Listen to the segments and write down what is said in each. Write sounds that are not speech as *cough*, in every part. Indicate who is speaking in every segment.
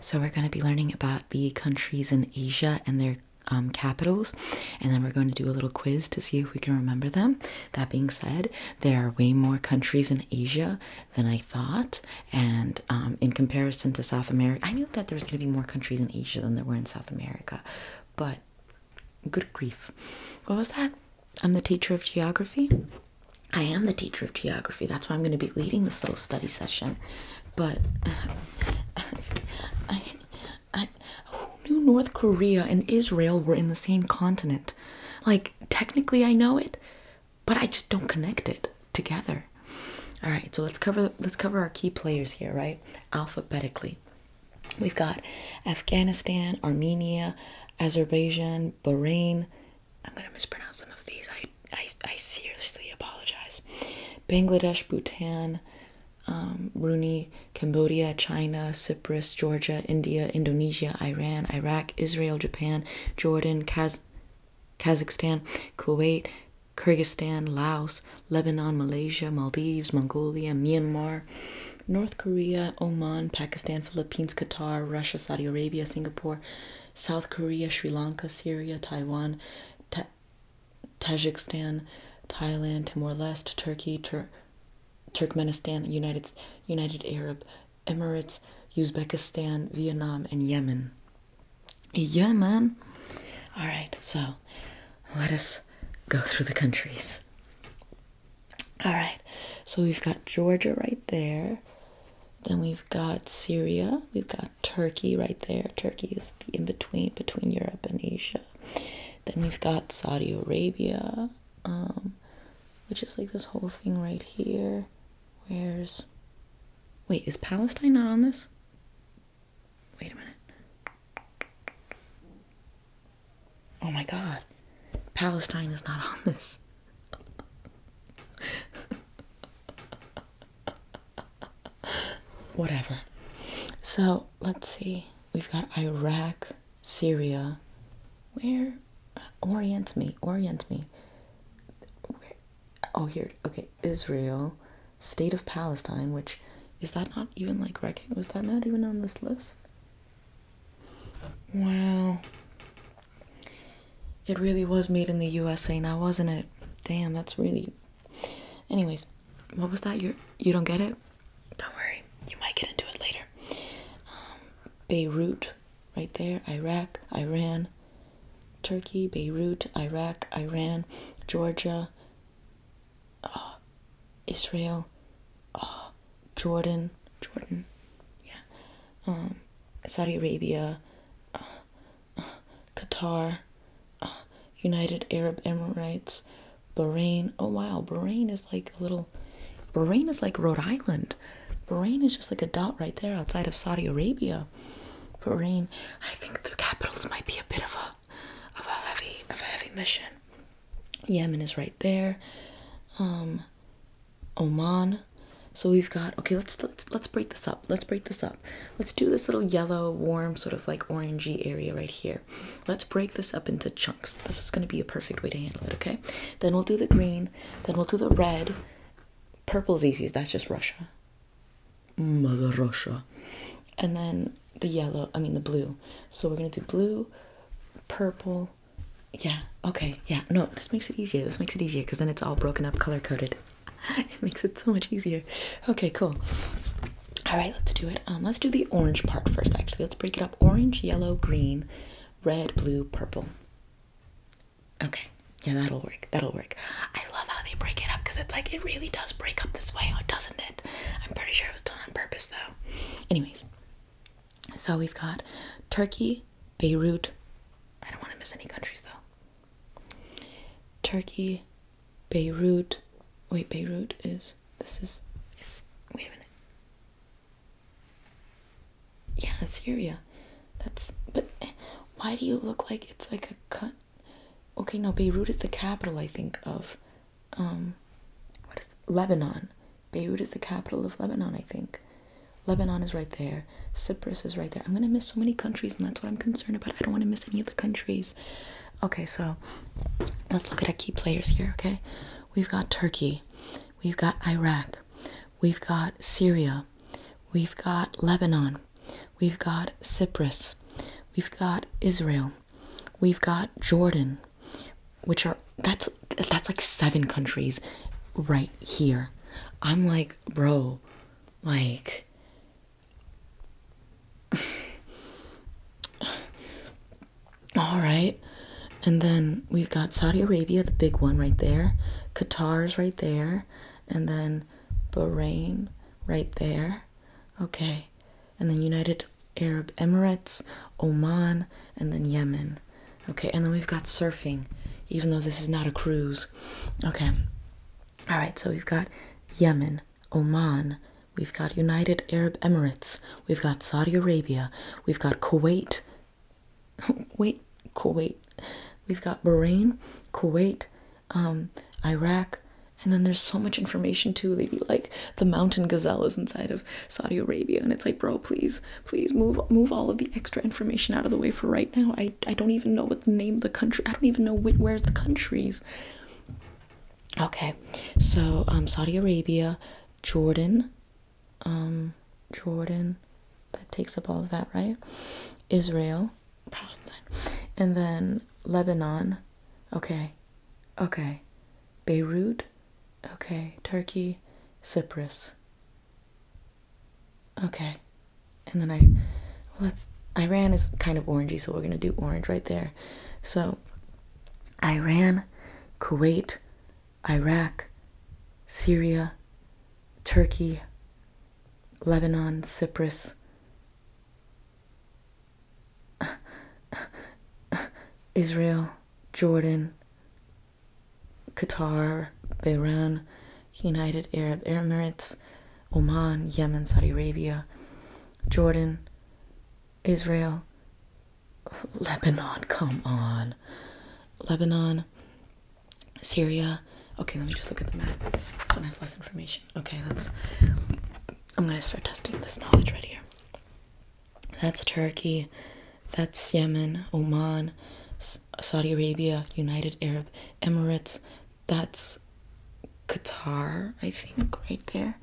Speaker 1: So we're going to be learning about the countries in Asia and their um, capitals, and then we're going to do a little quiz to see if we can remember them. That being said, there are way more countries in Asia than I thought, and um, in comparison to South America, I knew that there was going to be more countries in Asia than there were in South America, but good grief. What was that? I'm the teacher of geography. I am the teacher of geography. That's why I'm going to be leading this little study session but I, I, who knew North Korea and Israel were in the same continent? Like, technically, I know it, but I just don't connect it together. All right, so let's cover let's cover our key players here, right? Alphabetically, we've got Afghanistan, Armenia, Azerbaijan, Bahrain, I'm gonna mispronounce some of these. I I, I seriously apologize. Bangladesh, Bhutan, um, Brunei, Cambodia, China, Cyprus, Georgia, India, Indonesia, Iran, Iraq, Israel, Japan, Jordan, Kaz Kazakhstan, Kuwait, Kyrgyzstan, Laos, Lebanon, Malaysia, Maldives, Mongolia, Myanmar, North Korea, Oman, Pakistan, Philippines, Qatar, Russia, Saudi Arabia, Singapore, South Korea, Sri Lanka, Syria, Taiwan, Tajikistan, Thailand, Timor Leste, Turkey, Turkmenistan, United United Arab Emirates, Uzbekistan, Vietnam, and Yemen. Yemen. All right, so let us go through the countries. All right, so we've got Georgia right there. Then we've got Syria, we've got Turkey right there. Turkey is the in between between Europe and Asia. Then we've got Saudi Arabia, um, which is like this whole thing right here. Where's wait, is Palestine not on this? Wait a minute. Oh my god, Palestine is not on this. *laughs* *laughs* Whatever. So let's see. We've got Iraq, Syria. Where? Uh, orient me. Orient me. Oh, here. Okay. Israel, state of Palestine, which is that not even like record? Was that not even on this list? Wow. It really was made in the USA now, wasn't it? Damn, that's really. Anyways, what was that? You you don't get it? Don't worry, you might get into it later. Um, Beirut, right there. Iraq, Iran, Turkey, Beirut, Iraq, Iran, Georgia, uh, Israel, uh, Jordan, Jordan, yeah, um, Saudi Arabia. Uh, Qatar, uh, United Arab Emirates, Bahrain. Oh wow, Bahrain is like a little. Bahrain is like Rhode Island. Bahrain is just like a dot right there outside of Saudi Arabia. Bahrain. I think the capitals might be a bit of a of a heavy of a heavy mission. Yemen is right there. Um, Oman. So we've got okay. Let's let's let's break this up. Let's break this up. Let's do this little yellow, warm, sort of like orangey area right here. Let's break this up into chunks. This is going to be a perfect way to handle it. Okay. Then we'll do the green. Then we'll do the red. Purple's easy. That's just Russia. Mother Russia. And then the yellow. I mean the blue. So we're gonna do blue, purple. Yeah. Okay. Yeah. No. This makes it easier. This makes it easier because then it's all broken up, color coded. *laughs* it makes it so much easier. Okay, cool. All right, let's do it. Um, let's do the orange part first, actually. Let's break it up orange, yellow, green, red, blue, purple. Okay, yeah, that'll work. That'll work. I love how they break it up because it's like it really does break up this way, oh, doesn't it? I'm pretty sure it was done on purpose, though. Anyways, so we've got Turkey, Beirut. I don't want to miss any countries, though. Turkey, Beirut. Wait, Beirut is this is, is wait a minute. Yeah, Syria. That's but why do you look like it's like a cut? Okay, no, Beirut is the capital, I think, of um what is Lebanon. Beirut is the capital of Lebanon, I think. Lebanon is right there. Cyprus is right there. I'm gonna miss so many countries, and that's what I'm concerned about. I don't want to miss any of the countries. Okay, so let's look at our key players here. Okay, we've got Turkey, we've got Iraq, we've got Syria, we've got Lebanon, we've got Cyprus, we've got Israel, we've got Jordan, which are that's that's like seven countries right here. I'm like, bro, like all right. And then we've got Saudi Arabia, the big one right there. Qatar's right there. And then Bahrain right there. Okay. And then United Arab Emirates, Oman, and then Yemen. Okay. And then we've got surfing, even though this is not a cruise. Okay. All right, so we've got Yemen, Oman, we've got United Arab Emirates, we've got Saudi Arabia, we've got Kuwait. *laughs* Wait, Kuwait. We've got Bahrain, Kuwait, um, Iraq, and then there's so much information too. They be like the mountain gazelle is inside of Saudi Arabia, and it's like, bro, please, please move move all of the extra information out of the way for right now i i don't even know what the name of the country i don't even know which, where's the countries okay so um, saudi arabia jordan um, jordan that takes up all of that right israel palestine and then lebanon okay okay beirut okay turkey cyprus Okay. And then I well let's Iran is kind of orangey, so we're gonna do orange right there. So Iran, Kuwait, Iraq, Syria, Turkey, Lebanon, Cyprus. *laughs* Israel, Jordan, Qatar, Bahrain, United Arab Emirates, Oman, Yemen, Saudi Arabia, Jordan, Israel, Lebanon, come on. Lebanon, Syria. Okay, let me just look at the map. This one has less information. Okay, let's. I'm gonna start testing this knowledge right here. That's Turkey, that's Yemen, Oman, Saudi Arabia, United Arab Emirates, that's Qatar, I think, right there.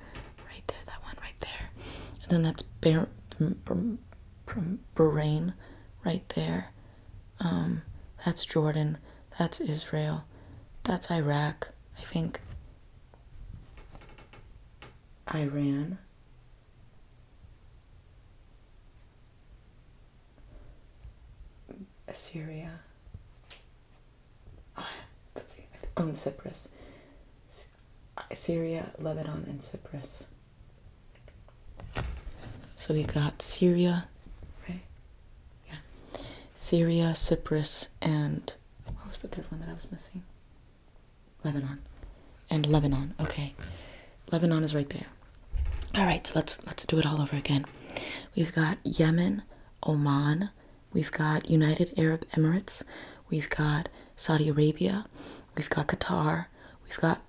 Speaker 1: Right there, that one right there. And then that's Bar from, from Bahrain right there. Um, that's Jordan. That's Israel. That's Iraq, I think. Iran. Assyria. Oh, let's On Cyprus. Uh, Syria, Lebanon, and Cyprus. So we got Syria, right? Yeah. Syria, Cyprus, and what was the third one that I was missing? Lebanon. And Lebanon. Okay. Lebanon is right there. All right, so let's let's do it all over again. We've got Yemen, Oman, we've got United Arab Emirates, we've got Saudi Arabia, we've got Qatar, we've got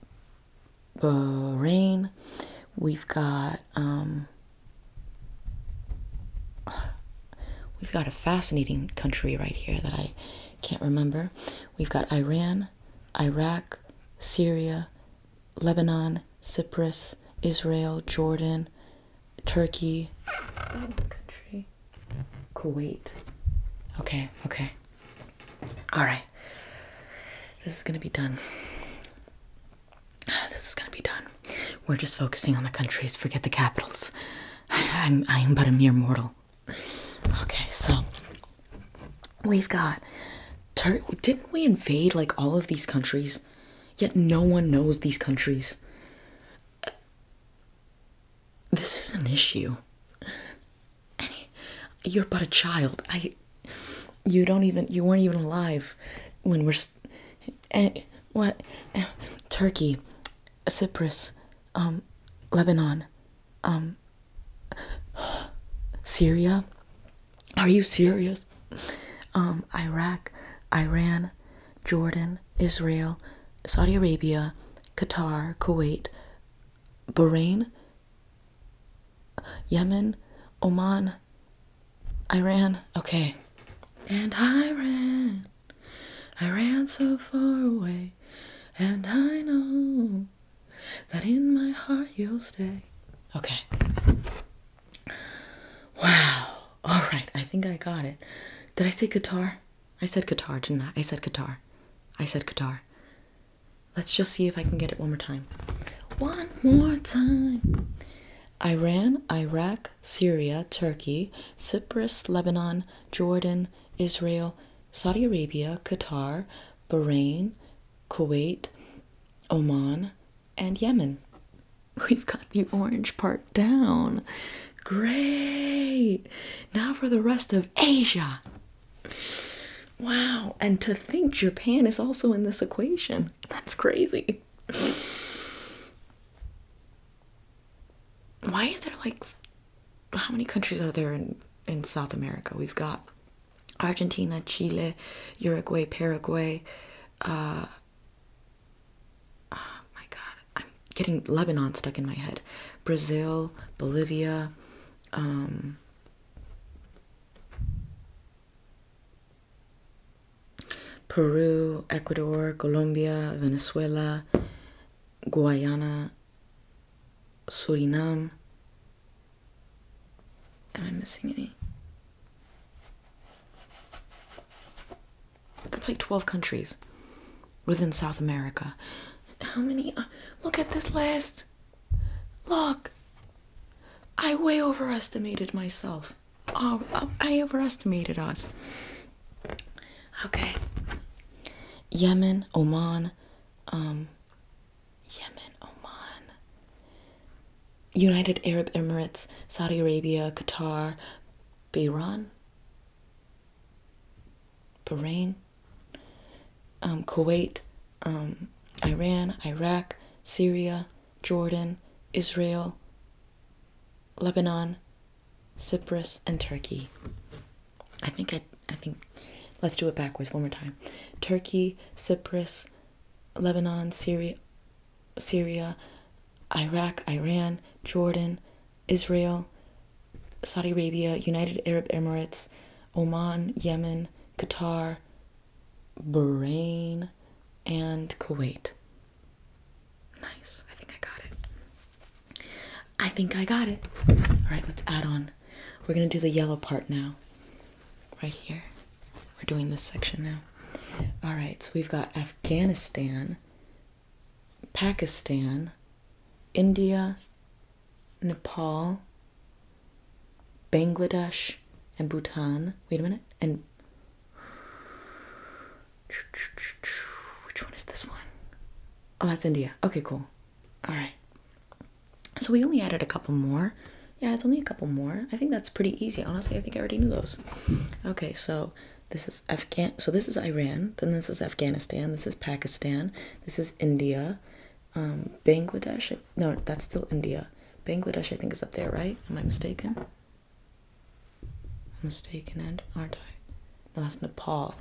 Speaker 1: Bahrain, we've got um we've got a fascinating country right here that I can't remember. We've got Iran, Iraq, Syria, Lebanon, Cyprus, Israel, Jordan, Turkey. country? Kuwait. Okay, okay. All right. This is going to be done. *sighs* This is going to be done. We're just focusing on the countries. Forget the capitals. *laughs* I'm, I'm but a mere mortal. Okay, so we've got. didn't we invade like all of these countries? Yet no one knows these countries. This is an issue. you're but a child. I. You don't even. You weren't even alive when we're. Eh, what? Eh, Turkey, Cyprus, um, Lebanon, um, Syria, are you serious? Um, Iraq, Iran, Jordan, Israel, Saudi Arabia, Qatar, Kuwait, Bahrain, Yemen, Oman, Iran. Okay. And I ran. I ran so far away. And I know that in my heart you'll stay. Okay. Wow. All right. I think I got it. Did I say guitar? I said guitar, didn't I? I said guitar. I said guitar. Let's just see if I can get it one more time. One more time. Iran, Iraq, Syria, Turkey, Cyprus, Lebanon, Jordan, Israel, Saudi Arabia, Qatar, Bahrain, Kuwait, Oman, and Yemen. We've got the orange part down. Great! Now for the rest of Asia. Wow, and to think Japan is also in this equation. That's crazy. Why is there like how many countries are there in in South America? We've got Argentina, Chile, Uruguay, Paraguay, uh, oh my god, I'm getting Lebanon stuck in my head. Brazil, Bolivia, um, Peru, Ecuador, Colombia, Venezuela, Guyana, Suriname. Am I missing any? That's like 12 countries within South America. How many? Uh, look at this list. Look. I way overestimated myself. Oh, oh I overestimated us. Okay. Yemen, Oman, um, Yemen, Oman, United Arab Emirates, Saudi Arabia, Qatar, Bahrain, Bahrain, um, Kuwait, um, Iran, Iraq, Syria, Jordan, Israel, Lebanon, Cyprus, and Turkey. I think I, I think, let's do it backwards one more time. Turkey, Cyprus, Lebanon, Syria, Syria, Iraq, Iran, Jordan, Israel, Saudi Arabia, United Arab Emirates, Oman, Yemen, Qatar, Bahrain, and Kuwait. Nice. I think I got it. I think I got it. All right, let's add on. We're going to do the yellow part now, right here. We're doing this section now. All right, so we've got Afghanistan, Pakistan, India, Nepal, Bangladesh, and Bhutan. Wait a minute. And which one is this one? Oh, that's India. Okay, cool. All right. So we only added a couple more yeah, it's only a couple more. I think that's pretty easy. Honestly, I think I already knew those. Okay, so this is Afghan. So this is Iran. Then this is Afghanistan. This is Pakistan. This is India. Um, Bangladesh. No, that's still India. Bangladesh, I think, is up there, right? Am I mistaken? I'm mistaken, and aren't I? No, that's Nepal.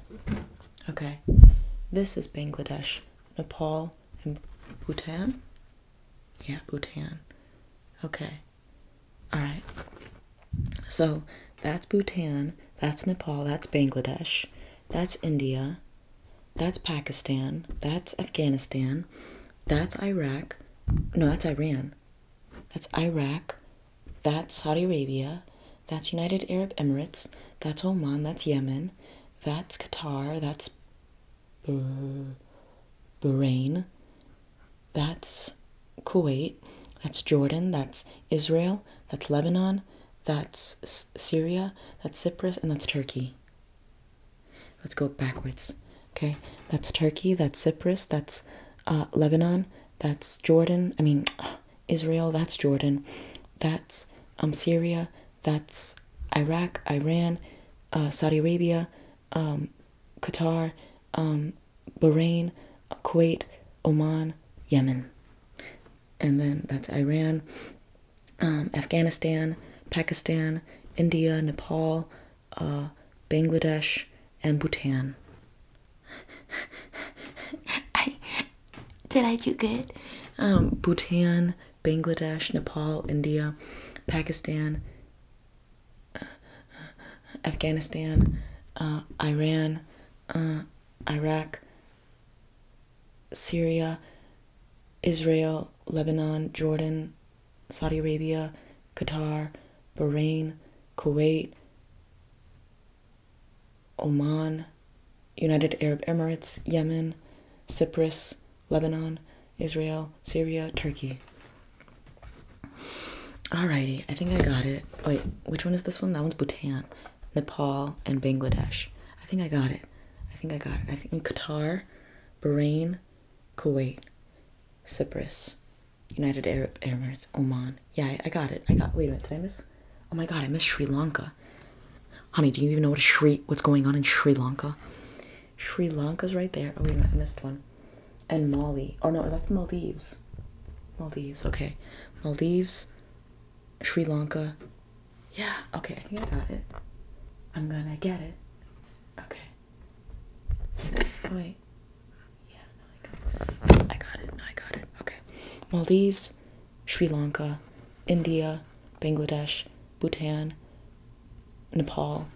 Speaker 1: Okay, this is Bangladesh, Nepal, and Bhutan. Yeah, Bhutan. Okay. All right. So that's Bhutan, that's Nepal, that's Bangladesh, that's India, that's Pakistan, that's Afghanistan, that's Iraq. No, that's Iran. That's Iraq, that's Saudi Arabia, that's United Arab Emirates, that's Oman, that's Yemen, that's Qatar, that's Bahrain, that's Kuwait, that's Jordan, that's Israel, that's Lebanon, that's Syria, that's Cyprus, and that's Turkey. Let's go backwards. Okay, that's Turkey, that's Cyprus, that's uh, Lebanon, that's Jordan, I mean, uh, Israel, that's Jordan, that's um, Syria, that's Iraq, Iran, uh, Saudi Arabia, um, Qatar, um, Bahrain, Kuwait, Oman, Yemen. And then that's Iran, um, Afghanistan, Pakistan, India, Nepal, uh, Bangladesh, and Bhutan. *laughs* did I do good? Bhutan, Bangladesh, Nepal, India, Pakistan, Afghanistan, uh, Iran, uh, Iraq, Syria, Israel, Lebanon, Jordan, Saudi Arabia, Qatar, Bahrain, Kuwait, Oman, United Arab Emirates, Yemen, Cyprus, Lebanon, Israel, Syria, Turkey. Alrighty, I think I got it. Wait, which one is this one? That one's Bhutan, Nepal, and Bangladesh. I think I got it. I think I got it. I think in Qatar, Bahrain, Kuwait, Cyprus, United Arab Emirates, Oman. Yeah, I got it. I got. Wait a minute, did I miss? Oh my God, I missed Sri Lanka. Honey, do you even know what Sri? What's going on in Sri Lanka? Sri Lanka's right there. Oh, wait, I missed one. And Mali. Oh, no, that's Maldives. Maldives, okay. Maldives, Sri Lanka. Yeah, okay, I think I got it. I'm gonna get it. Okay. Oh, wait. Yeah, I got it. I got it. Okay. Maldives, Sri Lanka, India, Bangladesh, Bhutan, Nepal,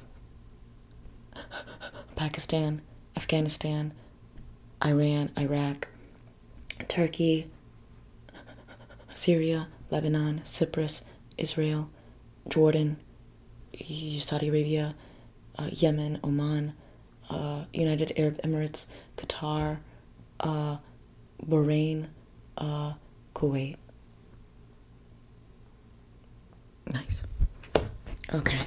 Speaker 1: Pakistan, Afghanistan, Iran, Iraq, Turkey, Syria, Lebanon, Cyprus, Israel, Jordan, Saudi Arabia, uh, Yemen, Oman, uh, United Arab Emirates, Qatar, uh, Bahrain, Kuwait. Nice. Okay.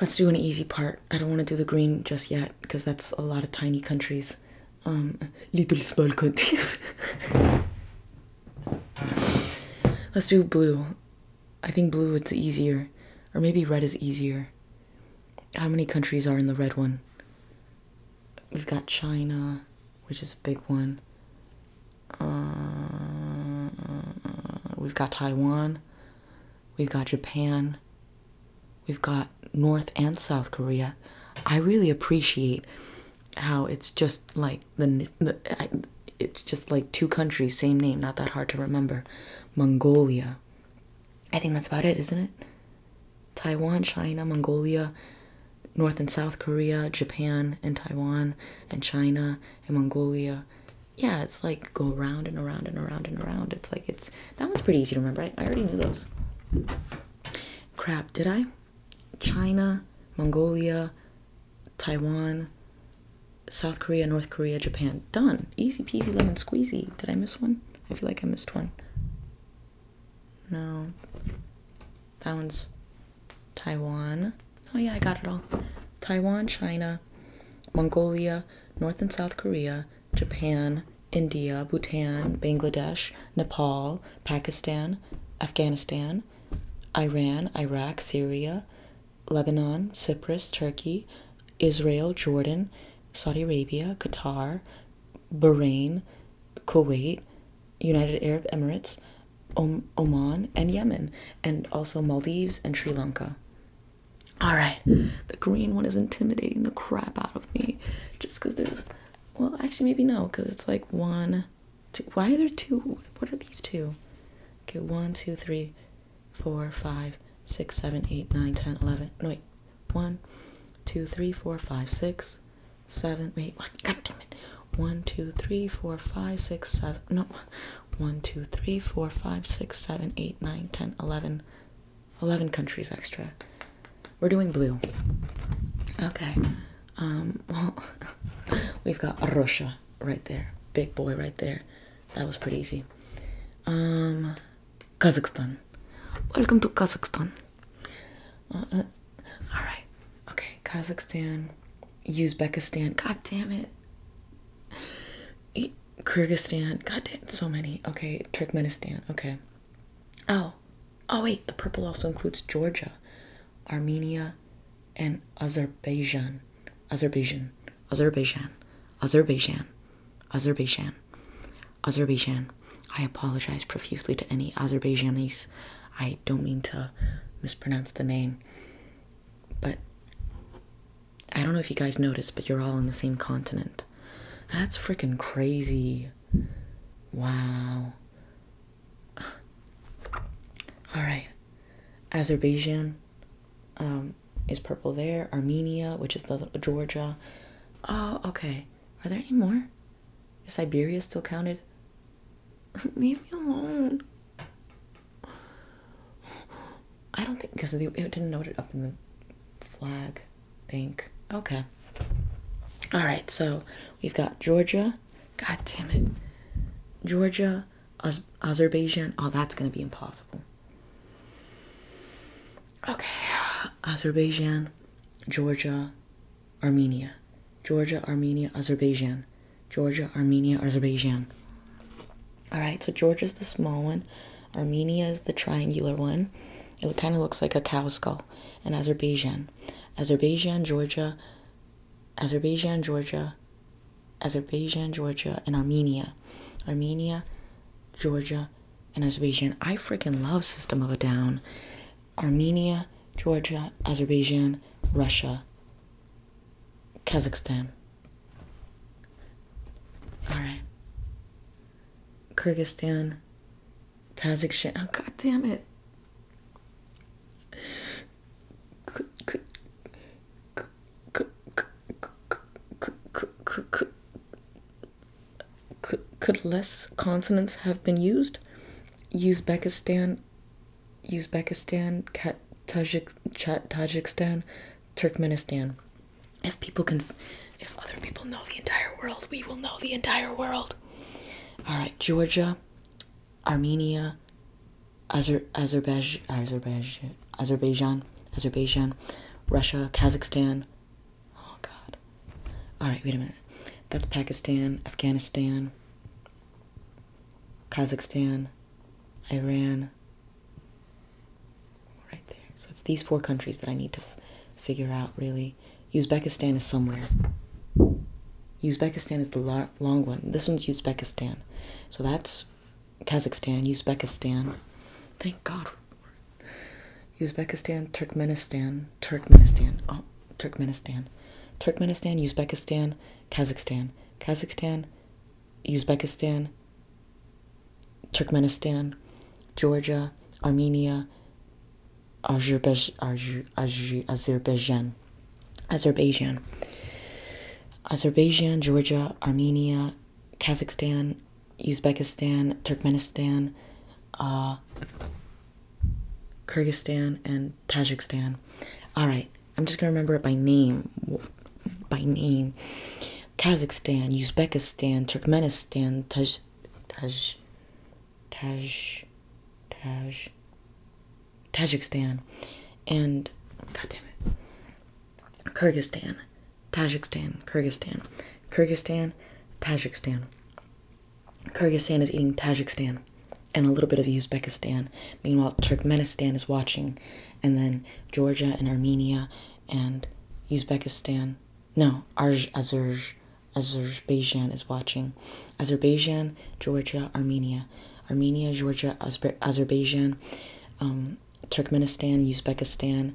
Speaker 1: Let's do an easy part. I don't want to do the green just yet because that's a lot of tiny countries. Um, little small country. *laughs* Let's do blue. I think blue it's easier. Or maybe red is easier. How many countries are in the red one? We've got China, which is a big one. Uh, we've got Taiwan. We've got Japan. We've got North and South Korea. I really appreciate how it's just like the, it's just like two countries, same name, not that hard to remember. Mongolia. I think that's about it, isn't it? Taiwan, China, Mongolia, North and South Korea, Japan and Taiwan and China and Mongolia. Yeah, it's like go around and around and around and around. It's like it's that one's pretty easy to remember. I, I already knew those. Crap, did I? China, Mongolia, Taiwan, South Korea, North Korea, Japan. Done. Easy peasy lemon squeezy. Did I miss one? I feel like I missed one. No. That one's Taiwan. Oh, yeah, I got it all. Taiwan, China, Mongolia, North and South Korea, Japan, India, Bhutan, Bangladesh, Nepal, Pakistan, Afghanistan, Iran, Iraq, Syria, Lebanon, Cyprus, Turkey, Israel, Jordan, Saudi Arabia, Qatar, Bahrain, Kuwait, United Arab Emirates, Oman and Yemen, and also Maldives and Sri Lanka. All right, the green one is intimidating the crap out of me just because there's well, actually, maybe no, because it's like one, two. Why are there two? What are these two? Okay, one, two, three, four, five, six, seven, eight, nine, ten, eleven. No, wait, one, two, three, four, five, six, seven, wait, what? God damn it. 1, 2, 3, 4, 5, 6, 7, no, 1, 2, 3, 4, 5, 6, 7, 8, 9, 10, 11, 11 countries extra. We're doing blue. Okay. Um, *laughs* we've got Russia right there. Big boy right there. That was pretty easy. Um, Kazakhstan. Welcome to Kazakhstan. Uh, uh, all right. Okay, Kazakhstan, Uzbekistan. God damn it. Kyrgyzstan. God damn, so many. Okay, Turkmenistan. Okay. Oh, oh wait, the purple also includes Georgia, Armenia, and Azerbaijan. Azerbaijan. Azerbaijan. Azerbaijan. Azerbaijan. Azerbaijan. I apologize profusely to any Azerbaijanis. I don't mean to mispronounce the name. But I don't know if you guys noticed, but you're all in the same continent. That's freaking crazy. Wow. *sighs* All right. Azerbaijan um, is purple there. Armenia, which is the Georgia. Oh, okay. Are there any more? Is Siberia still counted? *laughs* Leave me alone. I don't think because it didn't note it up in the flag. Think okay. All right, so we've got Georgia. God damn it, Georgia, Az Azerbaijan. Oh, that's gonna be impossible. Okay, Azerbaijan, Georgia, Armenia. Georgia, Armenia, Azerbaijan. Georgia, Armenia, Azerbaijan. All right, so Georgia's the small one, Armenia is the triangular one. It kind of looks like a cow skull, and Azerbaijan. Azerbaijan, Georgia, Azerbaijan, Georgia, Azerbaijan, Georgia, and Armenia. Armenia, Georgia, and Azerbaijan. I freaking love System of a Down. Armenia, Georgia, Azerbaijan, Russia, Kazakhstan. All right. Kyrgyzstan. Tajikistan. Oh, God damn it. Could less consonants have been used? Uzbekistan, Uzbekistan, Tajik, Tajikistan, Turkmenistan. If people can, if other people know the entire world, we will know the entire world. All right, Georgia, Armenia, Azer, Azerbaijan, Azerbaijan, Azerbaijan, Russia, Kazakhstan. Oh God. All right, wait a minute. That's Pakistan, Afghanistan. Kazakhstan, Iran, right there. So it's these four countries that I need to figure out really. Uzbekistan is somewhere. Uzbekistan is the long one. This one's Uzbekistan. So that's Kazakhstan, Uzbekistan. Thank God. Uzbekistan, Turkmenistan, Turkmenistan. Oh, Turkmenistan. Turkmenistan, Uzbekistan, Kazakhstan. Kazakhstan, Uzbekistan, Turkmenistan, Georgia, Armenia, Azerbaijan, Azerbaijan, Azerbaijan, Georgia, Armenia, Kazakhstan, Uzbekistan, Turkmenistan, uh, Kyrgyzstan, and in Tajikistan. All right, I'm just gonna remember it by name, by name. Kazakhstan, Uzbekistan, Turkmenistan, Taj, Taj, Taj, Taj, Tajikistan, and God damn it, Kyrgyzstan, Tajikistan, Kyrgyzstan, Kyrgyzstan, Tajikistan. Kyrgyzstan is eating Tajikistan and a little bit of Uzbekistan. Meanwhile, Turkmenistan is watching, and then Georgia and Armenia and Uzbekistan. No, Azerj, Azerbaijan is watching. Azerbaijan, Georgia, Armenia. Armenia, Georgia, Azber Azerbaijan, um, Turkmenistan, Uzbekistan,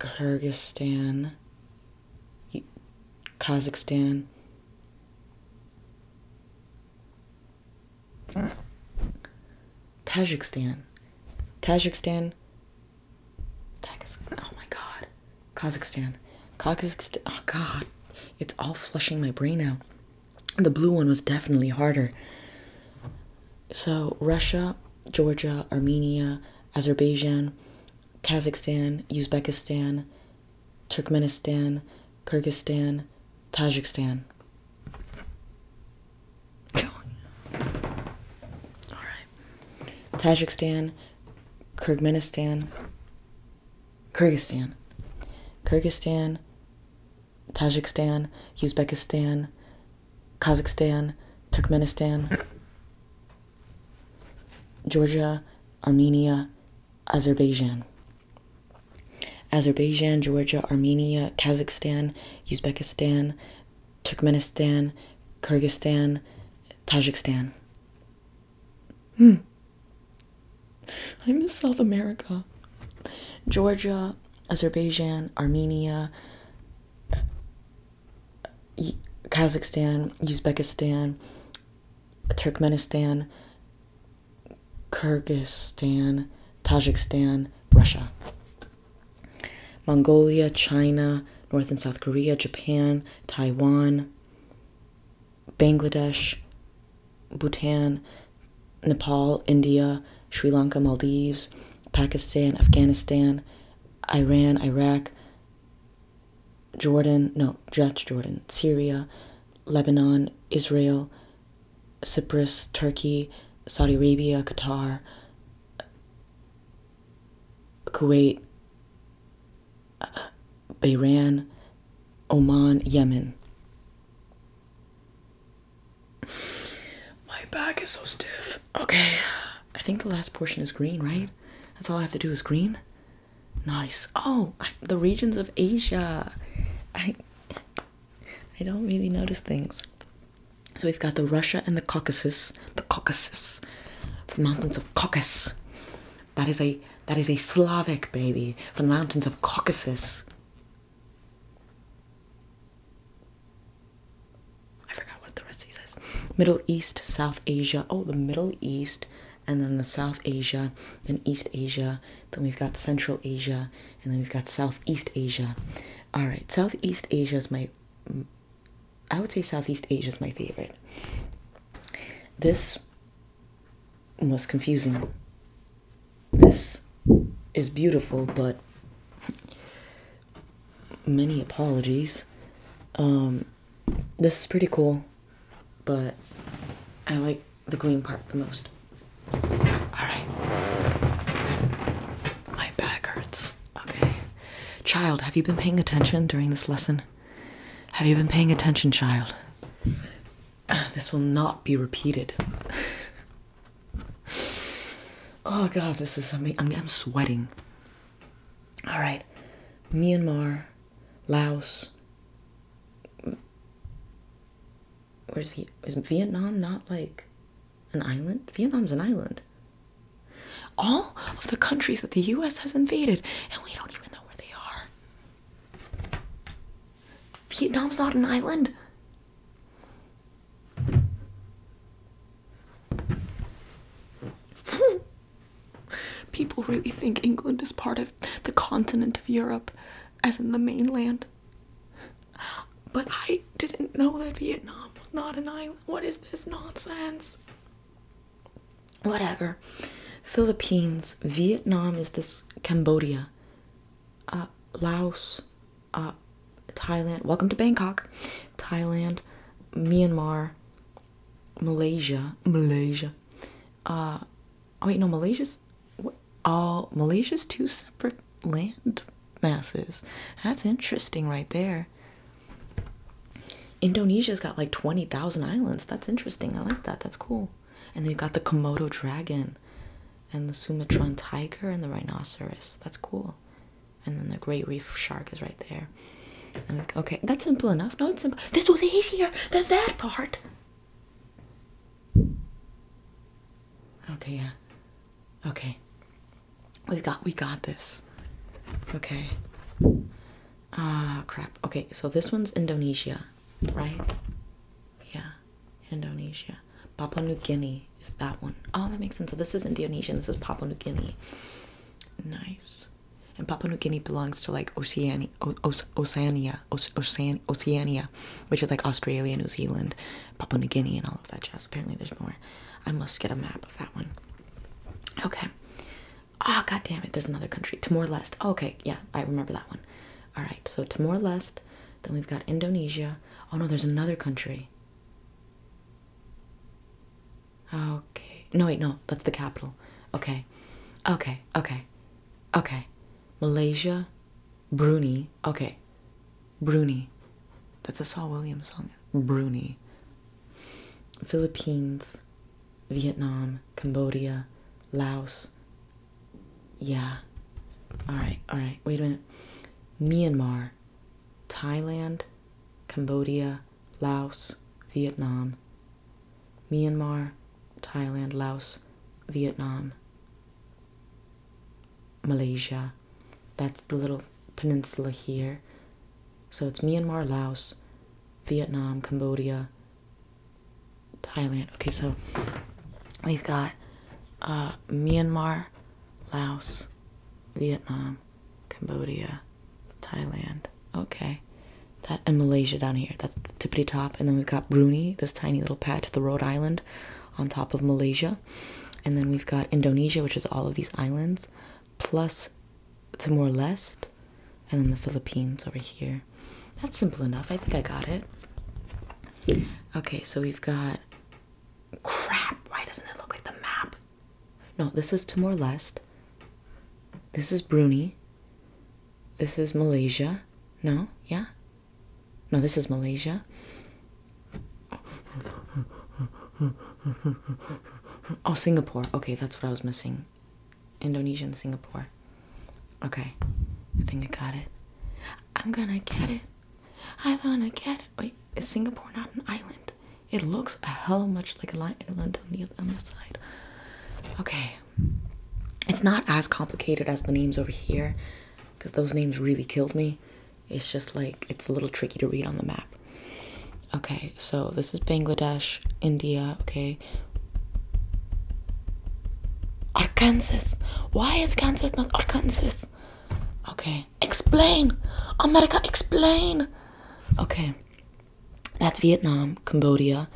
Speaker 1: Kyrgyzstan, Kazakhstan, Tajikistan. Tajikistan. Tajikistan. Oh my god. Kazakhstan. Kazakhstan. Oh god. It's all flushing my brain out. The blue one was definitely harder. So, Russia, Georgia, Armenia, Azerbaijan, Kazakhstan, Uzbekistan, Turkmenistan, Kyrgyzstan, Tajikistan. All right. Tajikistan, Kyrgyzstan, Kyrgyzstan, Kyrgyzstan, Tajikistan, Uzbekistan, Kazakhstan, Turkmenistan, Georgia, Armenia, Azerbaijan. Azerbaijan, Georgia, Armenia, Kazakhstan, Uzbekistan, Turkmenistan, Kyrgyzstan, Tajikistan. Hmm. I miss South America. Georgia, Azerbaijan, Armenia, uh, Kazakhstan, Uzbekistan, Turkmenistan, Kyrgyzstan, Tajikistan, Russia, Mongolia, China, North and South Korea, Japan, Taiwan, Bangladesh, Bhutan, Nepal, India, Sri Lanka, Maldives, Pakistan, Afghanistan, Iran, Iraq, Jordan, no, just Jordan, Syria, Lebanon, Israel, Cyprus, Turkey, Saudi Arabia, Qatar, Kuwait, Bahrain, Oman, Yemen. My back is so stiff. Okay, I think the last portion is green, right? That's all I have to do is green. Nice. Oh, the regions of Asia. I don't really notice things. So we've got the Russia and the Caucasus, the Caucasus, the mountains of Caucasus. That is a that is a Slavic baby from the mountains of Caucasus. I forgot what the rest of these Middle East, South Asia. Oh, the Middle East, and then the South Asia and East Asia then we've got Central Asia, and then we've got Southeast Asia. All right, Southeast Asia is my, I would say Southeast Asia is my favorite. This was confusing. This is beautiful, but many apologies. Um, this is pretty cool but I like the green part the most. Alright. My back hurts. Okay. Child, have you been paying attention during this lesson? Have you been paying attention, child? *sighs* This will not be repeated. *sighs* oh god, this is amazing. I'm, I'm sweating. Alright. Myanmar, Laos, where's v is Vietnam not like an island? Vietnam's an island. All of the countries that the US has invaded, and we don't even know where they are. Vietnam's not an island. *laughs* People really think England is part of the continent of Europe as in the mainland. But I didn't know that Vietnam was not an island. What is this nonsense? Whatever. Philippines, Vietnam is this Cambodia, uh, Laos, uh, Thailand. Welcome to Bangkok, Thailand, Myanmar, Malaysia, Malaysia, uh, Oh wait, no, Malaysia's. all Malaysia's two separate land masses. That's interesting, right there. Indonesia's got like twenty thousand islands. That's interesting. I like that. That's cool. And they've got the Komodo dragon, and the Sumatran tiger, and the rhinoceros. That's cool. And then the great reef shark is right there. Okay, that's simple enough. No, it's simple. This was easier than that part. Okay, yeah. Okay. We got we got this. Okay. Ah, crap. Okay, so this one's Indonesia, right? Yeah. Indonesia. Papua New Guinea is that one. Oh, that makes sense. So this is Indonesian. this is Papua New Guinea. Nice. And Papua New Guinea belongs to like Oceania, Oceania, Oceania, which is like Australia, New Zealand, Papua New Guinea, and all of that jazz. Apparently, there's more. I must get a map of that one. Okay. Ah, oh, god damn it! There's another country, Timor Leste. Oh, okay, yeah, I remember that one. All right, so Timor Leste. Then we've got Indonesia. Oh no, there's another country. Okay. No, wait, no, that's the capital. Okay. Okay, okay. Okay. Malaysia, Bruni. Okay. Bruni. That's a Saul Williams song. Bruni. Philippines, Vietnam, Cambodia, Laos. Yeah. Alright, alright. Wait a minute. Myanmar, Thailand, Cambodia, Laos, Vietnam. Myanmar, Thailand, Laos, Vietnam, Malaysia. That's the little peninsula here. So it's Myanmar, Laos, Vietnam, Cambodia, Thailand. Okay, so we've got uh, Myanmar, Laos, Vietnam, Cambodia, Thailand. Okay. That and Malaysia down here. That's that's tippity top. And then we've got Brunei, this tiny little patch, the Rhode Island on top of Malaysia. And then we've got Indonesia, which is all of these islands, plus Timor Leste, and then the Philippines over here. That's simple enough. I think I got it. Okay, so we've got crap. Why doesn't it look like the map? No, this is Timor Leste. This is Brunei. This is Malaysia. No, yeah, no, this is Malaysia. Oh, Singapore. Okay, that's what I was missing. Indonesia and Singapore. Okay, I think I got it. I'm gonna get it. I'm gonna get it. Wait, is Singapore not an island? It looks a hell much like an island on the on the side. Okay, it's not as complicated as the names over here because those names really killed me. It's just like it's a little tricky to read on the map. Okay, so this is Bangladesh, India, okay. Arkansas. Why is Kansas not Arkansas? Okay. Explain! America, explain! Okay. That's Vietnam, Cambodia,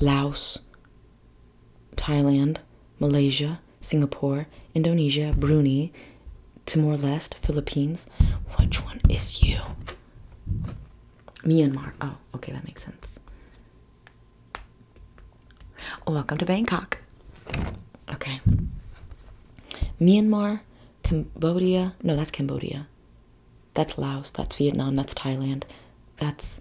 Speaker 1: Laos, Thailand, Malaysia, Singapore, Indonesia, Brunei, Timor Leste, Philippines. Which one is you? Myanmar. Oh, okay, that makes sense. Welcome to Bangkok. Okay. Myanmar, Cambodia. No, that's Cambodia. That's Laos, that's Vietnam, that's Thailand. That's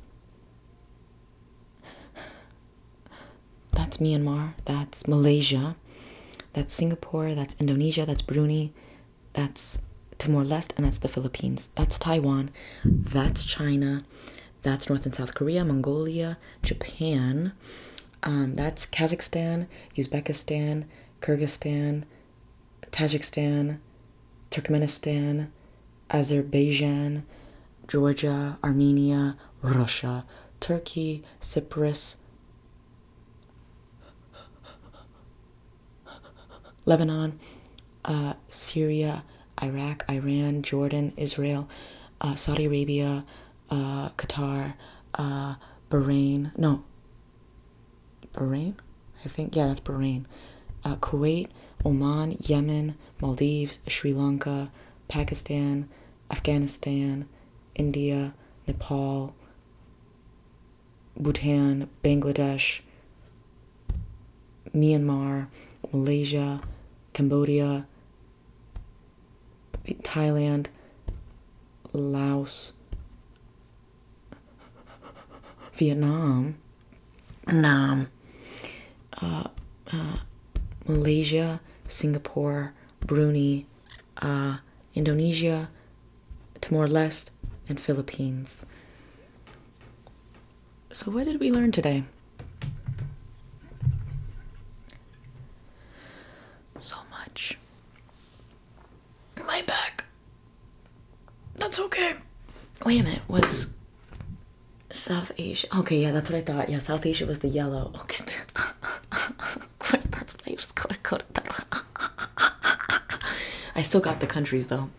Speaker 1: that's Myanmar, that's Malaysia, that's Singapore, that's Indonesia, that's Brunei, that's Timor Leste, and that's the Philippines. That's Taiwan, that's China, that's North and South Korea, Mongolia, Japan, um, that's Kazakhstan, Uzbekistan, Kyrgyzstan, Tajikistan, Turkmenistan, Azerbaijan, Georgia, Armenia, Russia, Turkey, Cyprus, Lebanon, uh, Syria, Iraq, Iran, Jordan, Israel, uh, Saudi Arabia, uh, Qatar, Bahrain, no, Bahrain, I think, yeah, that's Bahrain, Kuwait, Oman, Yemen, Maldives, Sri Lanka, Pakistan, Afghanistan, India, Nepal, Bhutan, Bangladesh, Myanmar, Malaysia, Cambodia, Thailand, Laos, Vietnam, Nam, uh, uh, Malaysia, Singapore, Brunei, uh, Indonesia, Timor Leste, and Philippines. So, what did we learn today? So much. My back. That's okay. Wait a minute. Was South Asia. Okay, yeah, that's what I thought. Yeah, South Asia was the yellow. *laughs* Okay. of course, that's players. *laughs* I still got the countries though.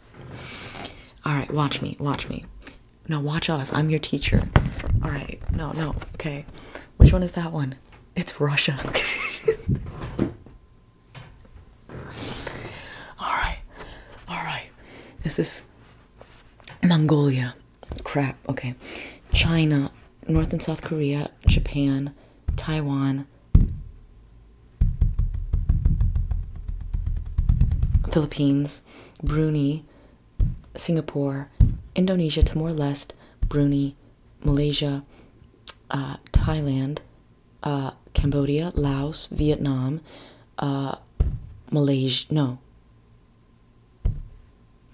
Speaker 1: All right, watch me, watch me. Now watch us. I'm your teacher. All right. No, no. Okay. Which one is that one? It's Russia. *laughs* all right. All right. This is Mongolia crap, okay. China, North and South Korea, Japan, Taiwan, Philippines, Brunei, Singapore, Indonesia, Timor Leste, Brunei, Malaysia, uh, Thailand, uh, Cambodia, Laos, Vietnam, uh, Malaysia, no,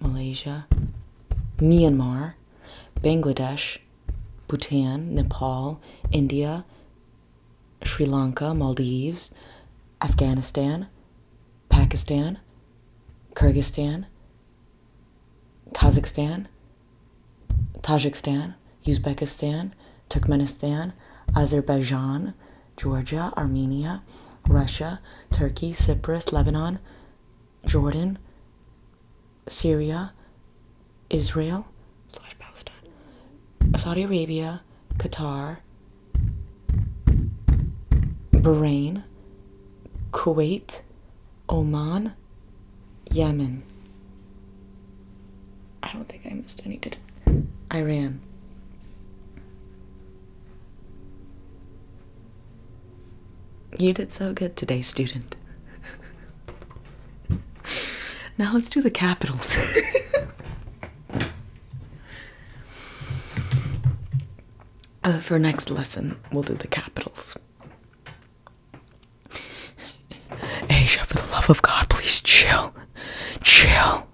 Speaker 1: Malaysia, Myanmar, Bangladesh, Bhutan, Nepal, India, Sri Lanka, Maldives, Afghanistan, Pakistan, Kyrgyzstan, Kazakhstan, Tajikistan, Uzbekistan, Turkmenistan, Azerbaijan, Georgia, Armenia, Russia, Turkey, Cyprus, Lebanon, Jordan, Syria, Israel, Palestine, Saudi Arabia, Qatar, Bahrain, Kuwait, Oman, Yemen. I don't think I missed any, did I? Iran. You did so good today, student. now let's do the capitals. Uh, for next lesson, we'll do the capitals. Asia, for the love of God, please chill. Chill.